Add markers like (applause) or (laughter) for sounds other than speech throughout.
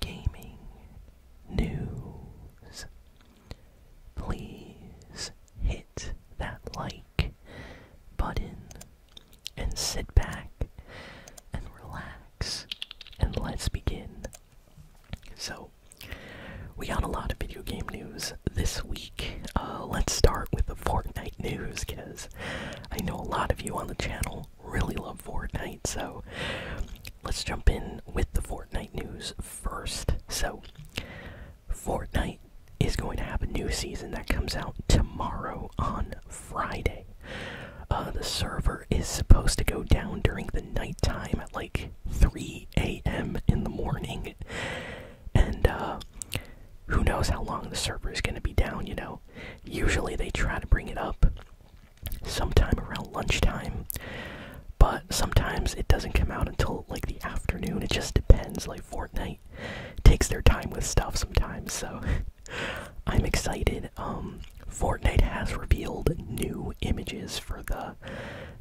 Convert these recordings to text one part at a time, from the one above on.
gaming news. Please hit that like button and sit back and relax and let's begin. So, we got a lot of video game news this week. Uh, let's start with the Fortnite news because I know a lot of you on the channel really love Fortnite. So let's jump in with the Fortnite news first. So, Fortnite is going to have a new season that comes out tomorrow on Friday. Uh, the server is supposed to go down during the nighttime at like 3 a.m. in the morning. And uh, who knows how long the server is going to be down, you know? Usually they try to bring it up sometime around lunchtime, but sometimes it doesn't come out until like the afternoon. It just depends. Like Fortnite takes their time with stuff sometimes, so (laughs) I'm excited. Um, Fortnite has revealed new images for the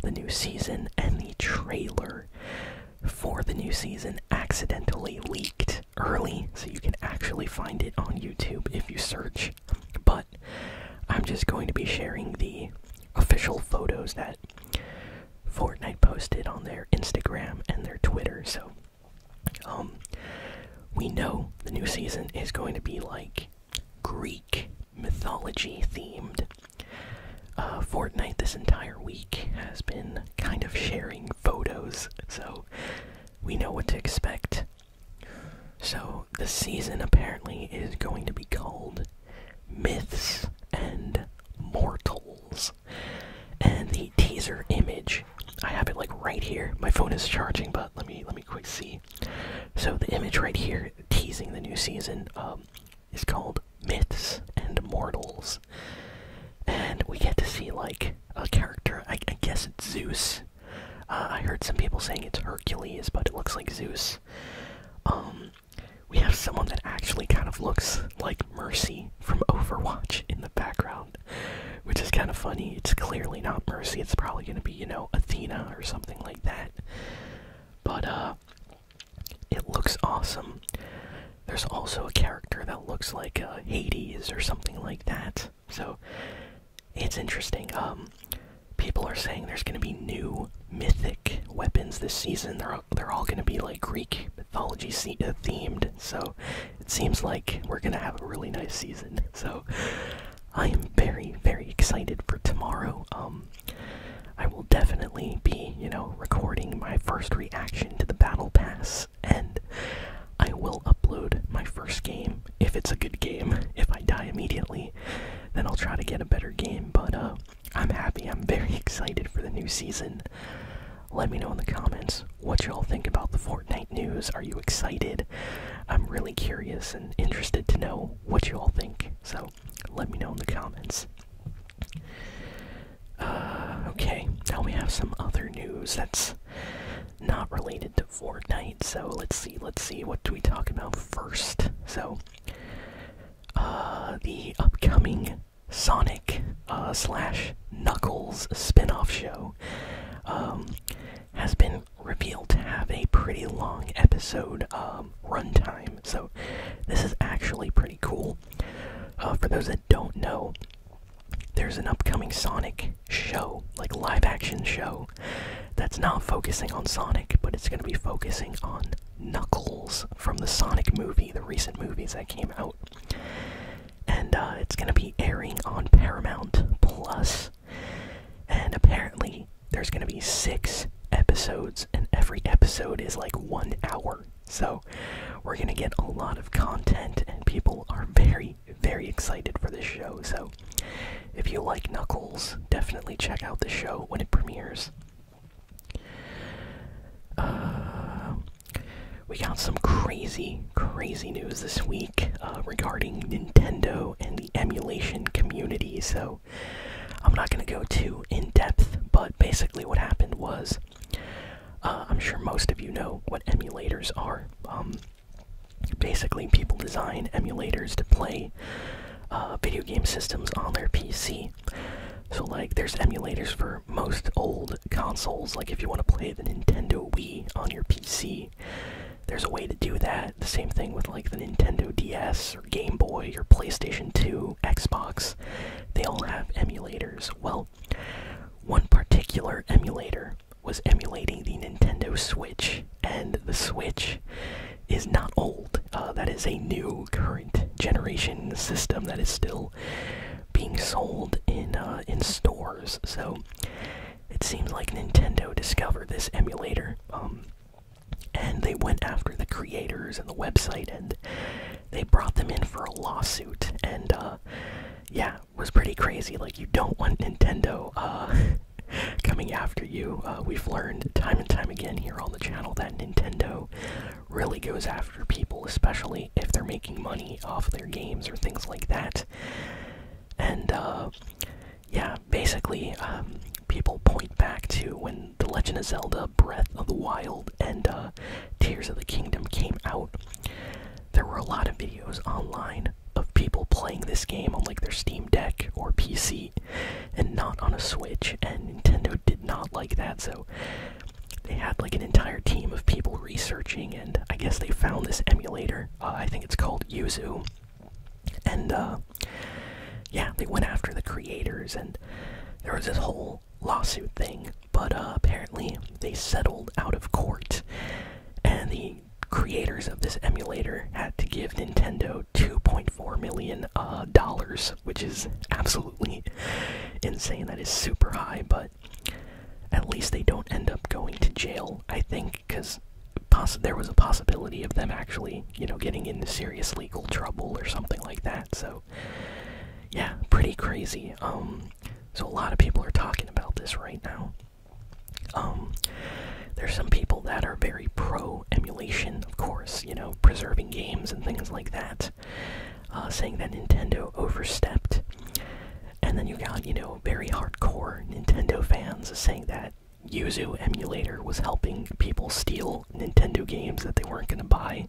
the new season, and the trailer for the new season accidentally leaked early, so you can actually find it on YouTube if you search but I'm just going to be sharing the official photos that Fortnite posted on their Instagram and their Twitter. So, um, we know the new season is going to be like Greek mythology themed. Uh, Fortnite this entire week has been kind of sharing photos, so we know what to expect. So, the season apparently is going to be called Myths and Mortals. And the teaser image, I have it like right here. My phone is charging, but let me let me quick see. So the image right here teasing the new season um, is called Myths and Mortals. And we get to see like a character, I guess it's Zeus, uh, I heard some people saying it's Hercules, but it looks like Zeus. Um, we have someone that actually kind of looks like Mercy from Overwatch in the background, which is kind of funny. It's clearly not Mercy, it's probably gonna be, you know, Athena or something like that. But, uh, it looks awesome. There's also a character that looks like uh, Hades or something like that. So it's interesting. Um, people are saying there's going to be new mythic weapons this season. They're they're all going to be like Greek mythology uh, themed. So it seems like we're going to have a really nice season. So I am very very excited for tomorrow. Um, I will definitely be you know recording my first reaction to the battle pass and I will upload my first game if it's a good game. If I die immediately, then I'll try to get a better game. But uh, I'm happy. I'm very (laughs) excited for the new season. Let me know in the comments what y'all think about the Fortnite news. Are you excited? I'm really curious and interested to know what y'all think. So let me know in the comments. Uh, okay, now we have some other news that's not related to Fortnite. So let's see, let's see, what do we talk about first? So, uh, the upcoming Sonic uh, slash Knuckles spin-off show um, has been revealed to have a pretty long episode um, runtime. So this is actually pretty cool. for those that don't know, there's an upcoming Sonic show, like live action show, that's not focusing on Sonic, but it's going to be focusing on Knuckles from the Sonic movie, the recent movies that came out. And uh, it's going to be airing on Paramount Plus. And apparently, there's going to be six episodes, and every episode is like one hour. So, we're going to get a lot of content, and people are very, very excited for this show. So, if you like Knuckles, definitely check out the show when it premieres. Uh, we got some crazy, crazy news this week uh, regarding Nintendo and the emulation community. So, I'm not going to go too in depth, but basically, what happened was uh, I'm sure most of you know what emulators are. Um, basically, people design emulators to play uh, video game systems on their PC. So, like, there's emulators for most old consoles. Like, if you want to play the Nintendo Wii on your PC, there's a way to do that. The same thing with, like, the Nintendo DS or Game Boy or PlayStation 2, Xbox. They all have emulators. Well, one particular emulator was emulating the Nintendo Switch, and the Switch is not old. Uh, that is a new current generation system that is still being sold in uh, in stores. So it seems like Nintendo discovered this emulator, um, and they went after the creators and the website and they brought them in for a lawsuit, and uh, yeah, was pretty crazy. Like you don't want Nintendo uh, (laughs) coming after you. Uh, we've learned time and time again here on the channel that Nintendo really goes after people, especially if they're making money off their games or things like that. And yeah, basically, um, people point back to when The Legend of Zelda Breath of the Wild and uh, Tears of the Kingdom came out, there were a lot of videos online of people playing this game on like their Steam Deck or PC and not on a Switch, and Nintendo did not like that, so they had like an entire team of people researching, and I guess they found this emulator. Uh, I think it's called Yuzu. And uh, yeah, they went after the creators, and there was this whole lawsuit thing, but uh, apparently they settled out of court, and the creators of this emulator had to give Nintendo 2.4 million uh, dollars, which is absolutely insane. That is super high, but at least they don't end up going to jail. I think because there was a possibility of them actually, you know, getting into serious legal trouble or something like that. So yeah, pretty crazy. Um, so a lot of people are talking about this right now. Um, there's some people that are very pro emulation, of course, you know, preserving games and things like that, uh, saying that Nintendo overstepped. And then you got, you know, very hardcore Nintendo fans saying that Yuzu emulator was helping people steal Nintendo games that they weren't going to buy,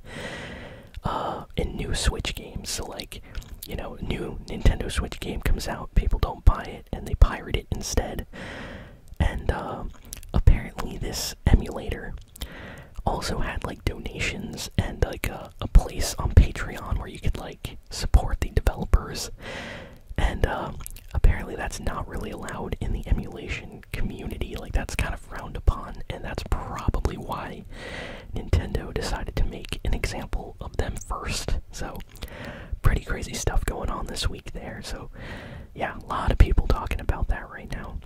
uh, and new Switch games. So, like, you know, new Nintendo Switch game comes out, people don't buy it, and they pirate it instead. And um, apparently, this emulator also had like donations and like a, place on Patreon where you could like support the developers. And um, apparently, that's not really allowed in the emulation community. Like, that's kind of frowned upon, and that's probably why Nintendo decided to make an example of them first. So, pretty crazy stuff going on this week there. So, yeah, a lot of people talking about that right now.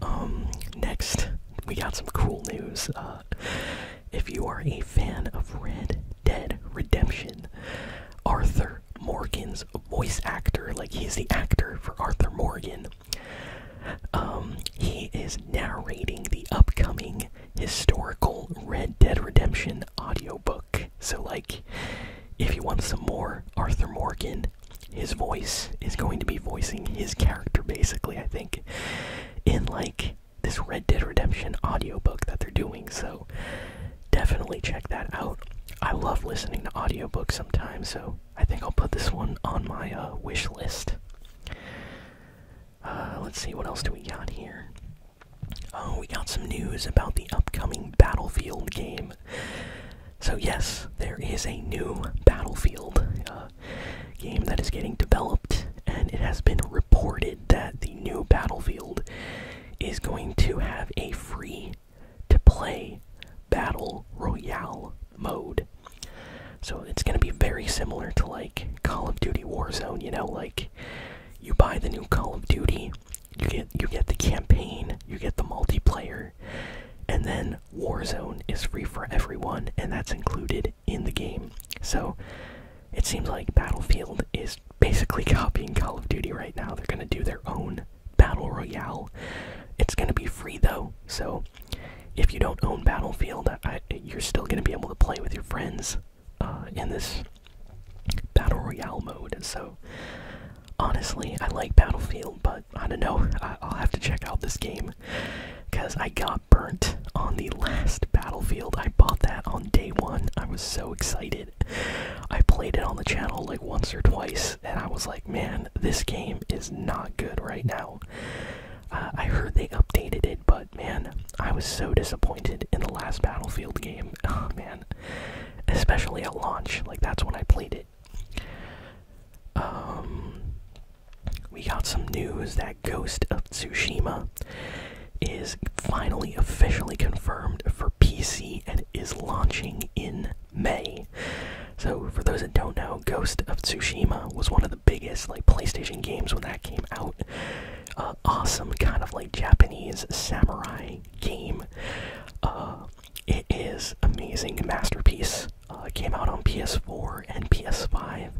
Um, next, we got some cool news. Uh, if you are a fan of Red Dead Redemption, Arthur Morgan's voice actor. Like he's the actor for Arthur Morgan. Um, he is narrating the upcoming historical Red Dead Redemption audiobook. So, like, if you want some more Arthur Morgan, his voice is going to be voicing his character, basically, I think, in like this Red Dead Redemption audiobook that they're doing. So, definitely check that out. I love listening to audiobooks sometimes, so I think I'll put this one on my uh, wish list. Uh, let's see, what else do we got here? Oh, we got some news about the upcoming Battlefield game. So, yes, there is a new Battlefield uh, game that is getting developed, and it has been reported that the new Battlefield is going to have a free to play Battle Royale mode. So it's going to be very similar to like Call of Duty Warzone, you know, like you buy the new Call of Duty, you get you get the campaign, you get the multiplayer, and then Warzone is free for everyone and that's included in the game. So it seems like Battlefield is basically copying Call of Duty right now. They're gonna do their own battle royale. It's gonna be free though, so if you don't own Battlefield, you're still gonna be able to play with your friends uh, in this battle royale mode. So honestly, I like Battlefield, but I don't know. (laughs) I'll have to check out this game because I got burnt on the last Battlefield. I bought that on day one. I was so excited I played it on the channel like once or twice, and I was like, man, this game is not good right now. Uh, I heard they updated it, but man, I was so disappointed in the last Battlefield game. (laughs) Oh man, especially at launch, like that's when I played it. Um, we got some news that Ghost of Tsushima is finally officially confirmed for PC and is launching in May. So, for those that don't know, Ghost of Tsushima was one of the biggest like PlayStation games when that came out. Uh, awesome kind of like Japanese samurai game. Uh, it is amazing masterpiece. Uh, came out on PS4 and PS5,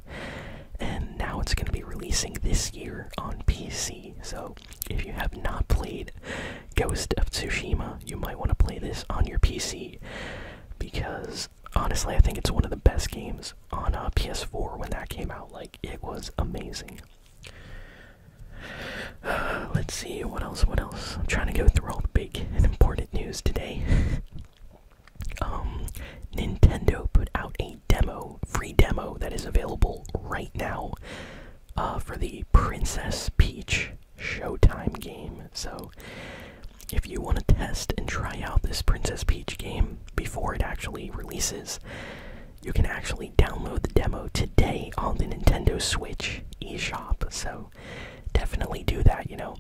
and now it's going to be releasing this year on PC. So if you have not played Ghost of Tsushima, you might want to play this on your PC because honestly, I think it's one of the best games on a uh, PS4 when that came out. Like, it was amazing. (sighs) let's see, what else? What else? I'm trying to go through all the big and important news today. (laughs) um, Nintendo put out a demo, free demo that is available right now uh, for the Princess Peach Showtime game. So, if you want to test and try out this Princess Peach game before it actually releases, you can actually download the demo today on the Nintendo Switch eShop. So, definitely do that, you know.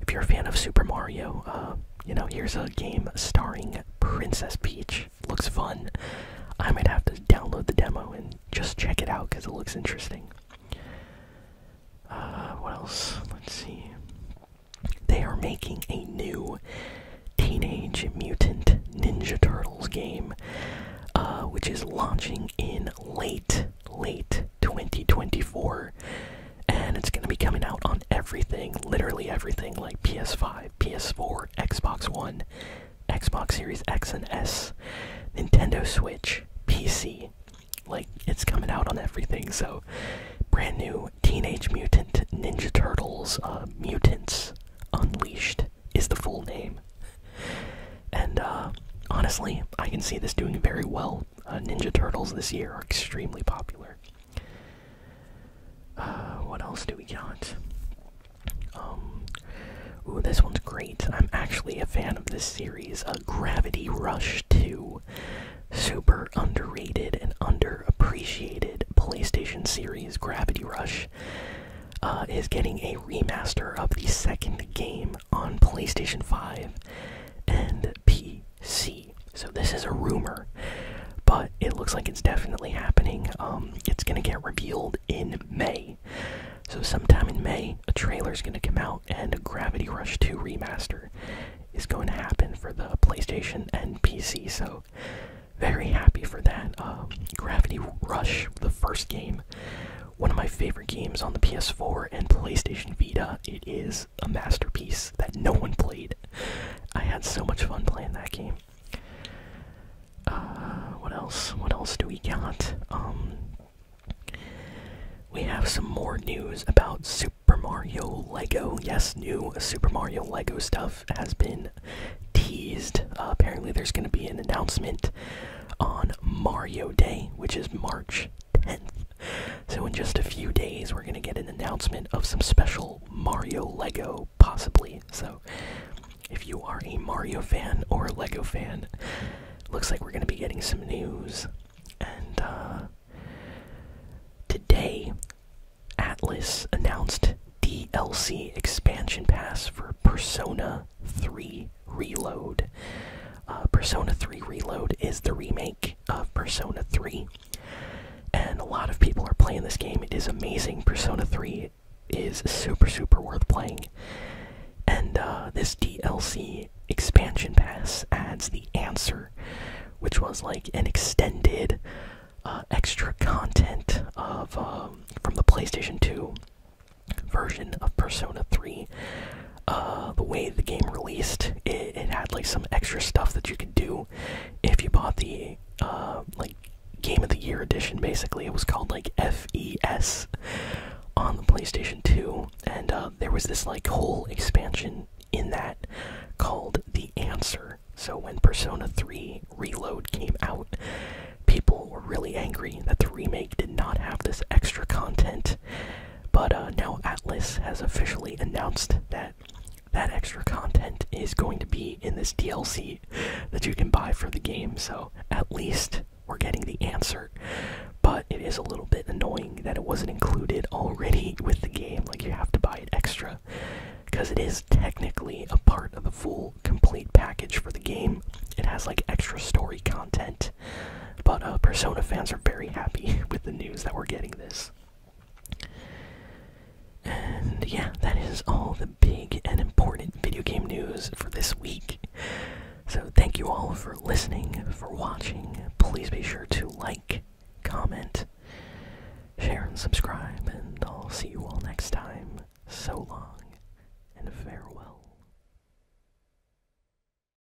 If you're a fan of Super Mario, uh, you know, here's a game starring Princess Peach looks fun. I might have to download the demo and just check it out because it looks interesting. Uh, what else? Let's see. They are making a new Teenage Mutant Ninja Turtles game, uh, which is launching in late, late 2024. And it's going to be coming out on everything, literally everything, like PS5, PS4, Xbox One, Xbox Series X and S, Nintendo Switch, PC. Like, it's coming out on everything, so brand new Teenage Mutant Ninja Turtles uh, Mutants Unleashed is the full name. And uh, honestly, I can see this doing very well. Uh, Ninja Turtles this year are extremely popular. Uh, what else do we got? Um, ooh, this one's great. I'm actually a fan of this series. A uh, Gravity Rush 2. Super underrated and underappreciated PlayStation series, Gravity Rush, uh, is getting a remaster of the second game on PlayStation 5 and P see. So this is a rumor, but it looks like it's definitely happening. Um, it's gonna get revealed in May. So sometime in May, a trailer is gonna come out, and Gravity Rush 2 remaster is going to happen for the PlayStation and PC. So very happy for that. Uh, Gravity Rush, the first game, one of my favorite games on the PS4 and PlayStation Vita. It is a masterpiece that no one played. I had so much fun playing that game. Uh, what else? What else do we got? Um, we have some more news about Super Mario Lego. Yes, new Super Mario Lego stuff has been teased. Uh, apparently, there's going to be an announcement on Mario Day, which is March 10th. So, in just a few days, we're going to get an announcement of some special Mario Lego, possibly. So, if you are a Mario fan or a Lego fan, looks like we're going to be getting some news. And uh, today, Atlas announced DLC expansion pass for Persona 3 Reload. Uh, Persona 3 Reload is the remake of Persona 3. And a lot of people are playing this game. It is amazing. Persona 3 is super, super worth playing. And uh, this DLC expansion pass adds the answer, which was like an extended uh, extra content of um, from the PlayStation 2 version of Persona 3 uh, the way the game released, it, had like some extra stuff that you could do if you bought the uh, like Game of the Year edition. Basically, it was called like FES on the PlayStation 2, and uh, there was this like whole expansion in that called The Answer. So when Persona 3 Reload came out, people were really angry that the remake did not have this extra content but uh, now Atlas has officially announced that that extra content is going to be in this DLC that you can buy for the game. So at least we're getting the answer. But it is a little bit annoying that it wasn't included already with the game. Like you have to buy it extra because it is technically a part of the full complete package for the game. It has like extra story content but uh, Persona fans are very happy (laughs) with the news that we're getting this. And yeah, that is all the big and important video game news for this week. So thank you all for listening, for watching. Please be sure to like, comment, share, and subscribe. And I'll see you all next time. So long, and farewell.